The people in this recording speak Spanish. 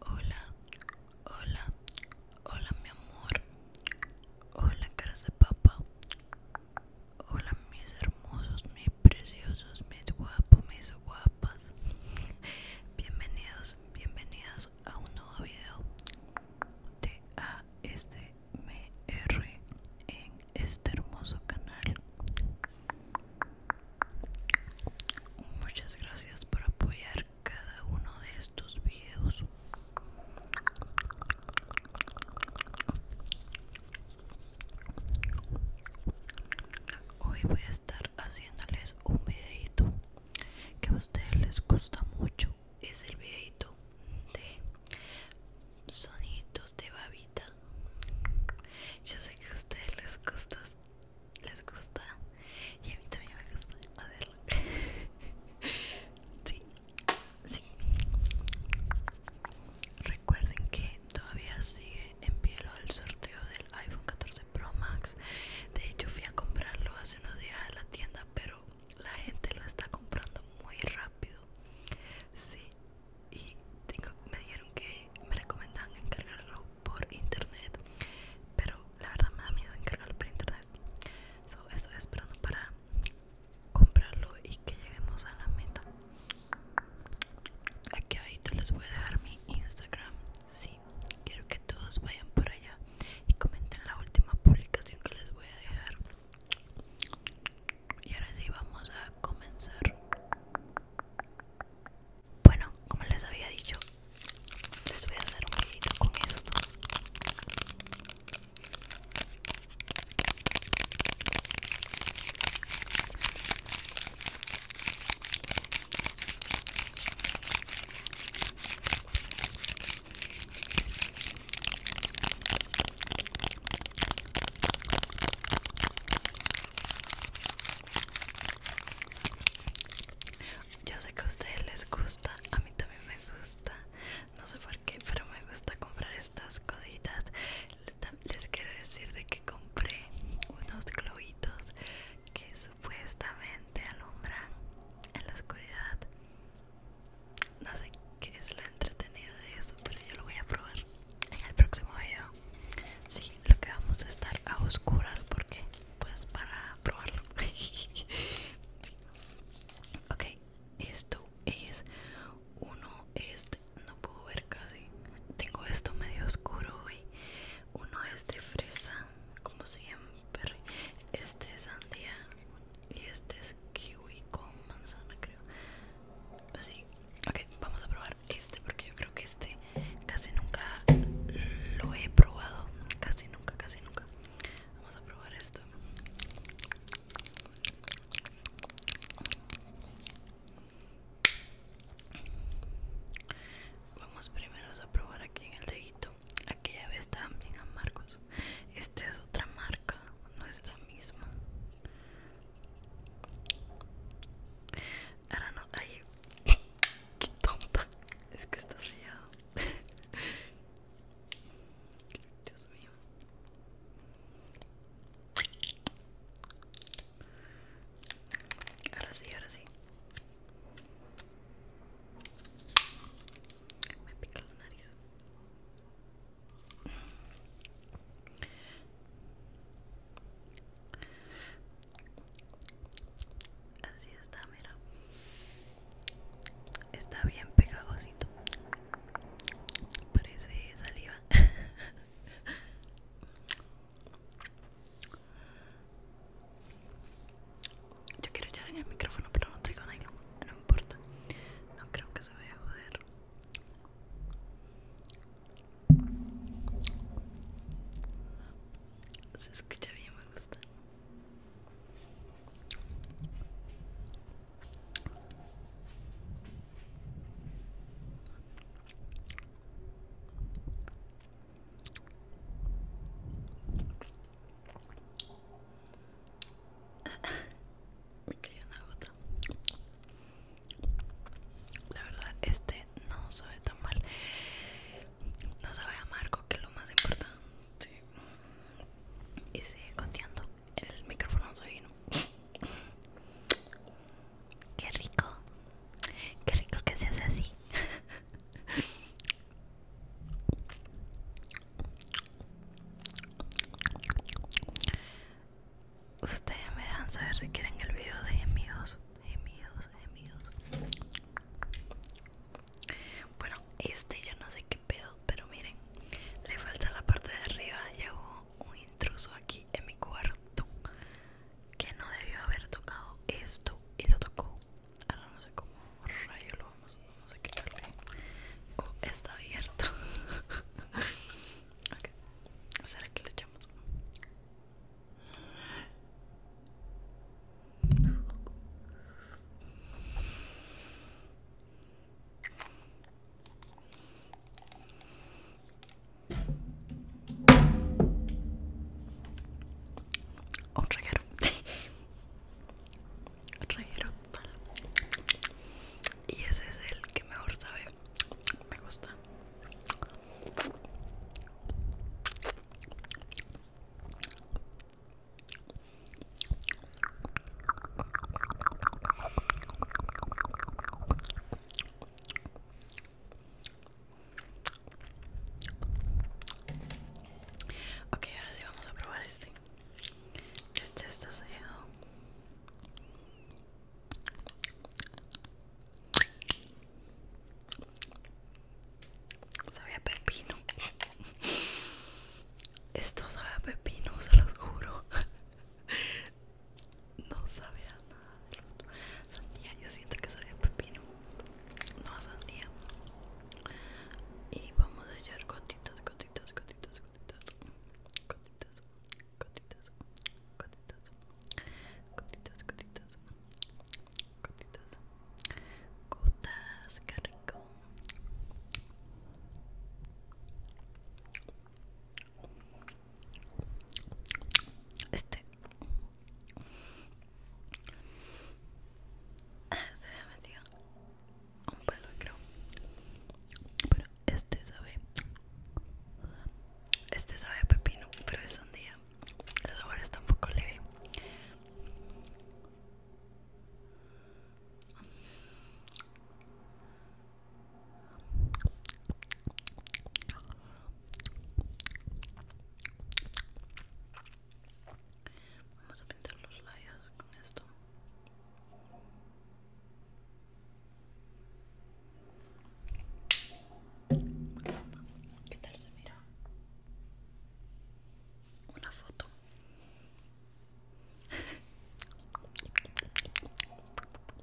Hola, hola, hola mi amor. Hola caras de papá, Hola mis hermosos, mis preciosos, mis guapos, mis guapas. Bienvenidos, bienvenidas a un nuevo video de ASMR en este hermoso canal. Muchas gracias por apoyar cada uno de estos videos. Hoy voy a estar haciéndoles un videito que a ustedes les gusta mucho. Es el videito de sonidos de babita. Yo sé que a ustedes les gusta, les gusta y a mí también me gusta hacerlo. sí, sí. Recuerden que todavía sigue en pie lo del sorteo del iPhone 14 Pro Max. De hecho fui a comprarlo hace unos días a la tienda, pero la gente lo está comprando muy rápido. Sí, y tengo, me dijeron que me recomendaban encargarlo por internet pero la verdad me da miedo encargarlo por internet so, estoy esperando para comprarlo y que lleguemos a la meta aquí ahorita les voy a dejar mi instagram sí quiero que todos vayan por allá y comenten la última publicación que les voy a dejar y ahora sí vamos a comenzar bueno como les había dicho les voy a hacer un videito con esto yo sé que a ustedes les gusta, a mí también me gusta, no sé por qué, pero me gusta comprar estas cositas. Les quiero decir de que compré unos globitos que supuestamente alumbran en la oscuridad. No sé qué es la entretenida de eso, pero yo lo voy a probar en el próximo video. Sí, lo que vamos a estar a oscuras porque pues para probarlo. ok, esto es uno este no puedo ver casi. Tengo esto medio oscuro hoy. Uno es de fresa, como siempre. Este es sandía. Y este es kiwi con manzana, creo. Así, ok, vamos a probar este porque yo creo que este casi nunca lo he probado. Casi nunca, casi nunca. Vamos a probar esto. Vamos primero a probar aquí en el dedito. ya ves también a Marcos esta es otra marca, no es la misma. Ahora no, ay, qué tonta. Es que está sellado. Dios mío. Ahora sí, ahora sí. Me pica la nariz. Así está, mira. Está bien pegajosito. Parece saliva. Yo quiero echar en el micrófono, pero no traigo nada, No importa. No creo que se vaya a joder. Se escucha bien, me gusta. Me cayó una gota. La verdad, este no sabe tan mal. No sabe Marco, que es lo más importante. Y sigue coteando el micrófono vino Qué rico. Qué rico que se hace así. Ustedes me dejan saber si quieren el video de gemidos, gemidos, gemidos. Bueno, este yo no sé qué pedo, pero miren, le falta la parte de arriba. Llegó un intruso aquí en mi cuarto que no debió haber tocado esto y lo tocó ahora no sé cómo rayo lo vamos no sé qué oh, está abierto okay. será que le echamos un reguero y ese es el que mejor sabe me gusta Ok, ahora sí vamos a probar este. Este está sellado. Sabía pepino. Esto sabía pepino, se los juro. No sabía otro. Sandía, yo siento que sale pepino. No a Y vamos a echar gotitas, gotitas, gotitas, gotitas. Gotitas, gotitas, gotitas. Gotitas, gotitas. Gotitas. Gotas, qué Este Ah, se me metió un pelo, creo. Pero este sabe. Este sabe a pepino, pero es sandía. El sabor está un poco leve. Vamos a pintar los labios con esto. ¿Qué tal se mira? Una foto.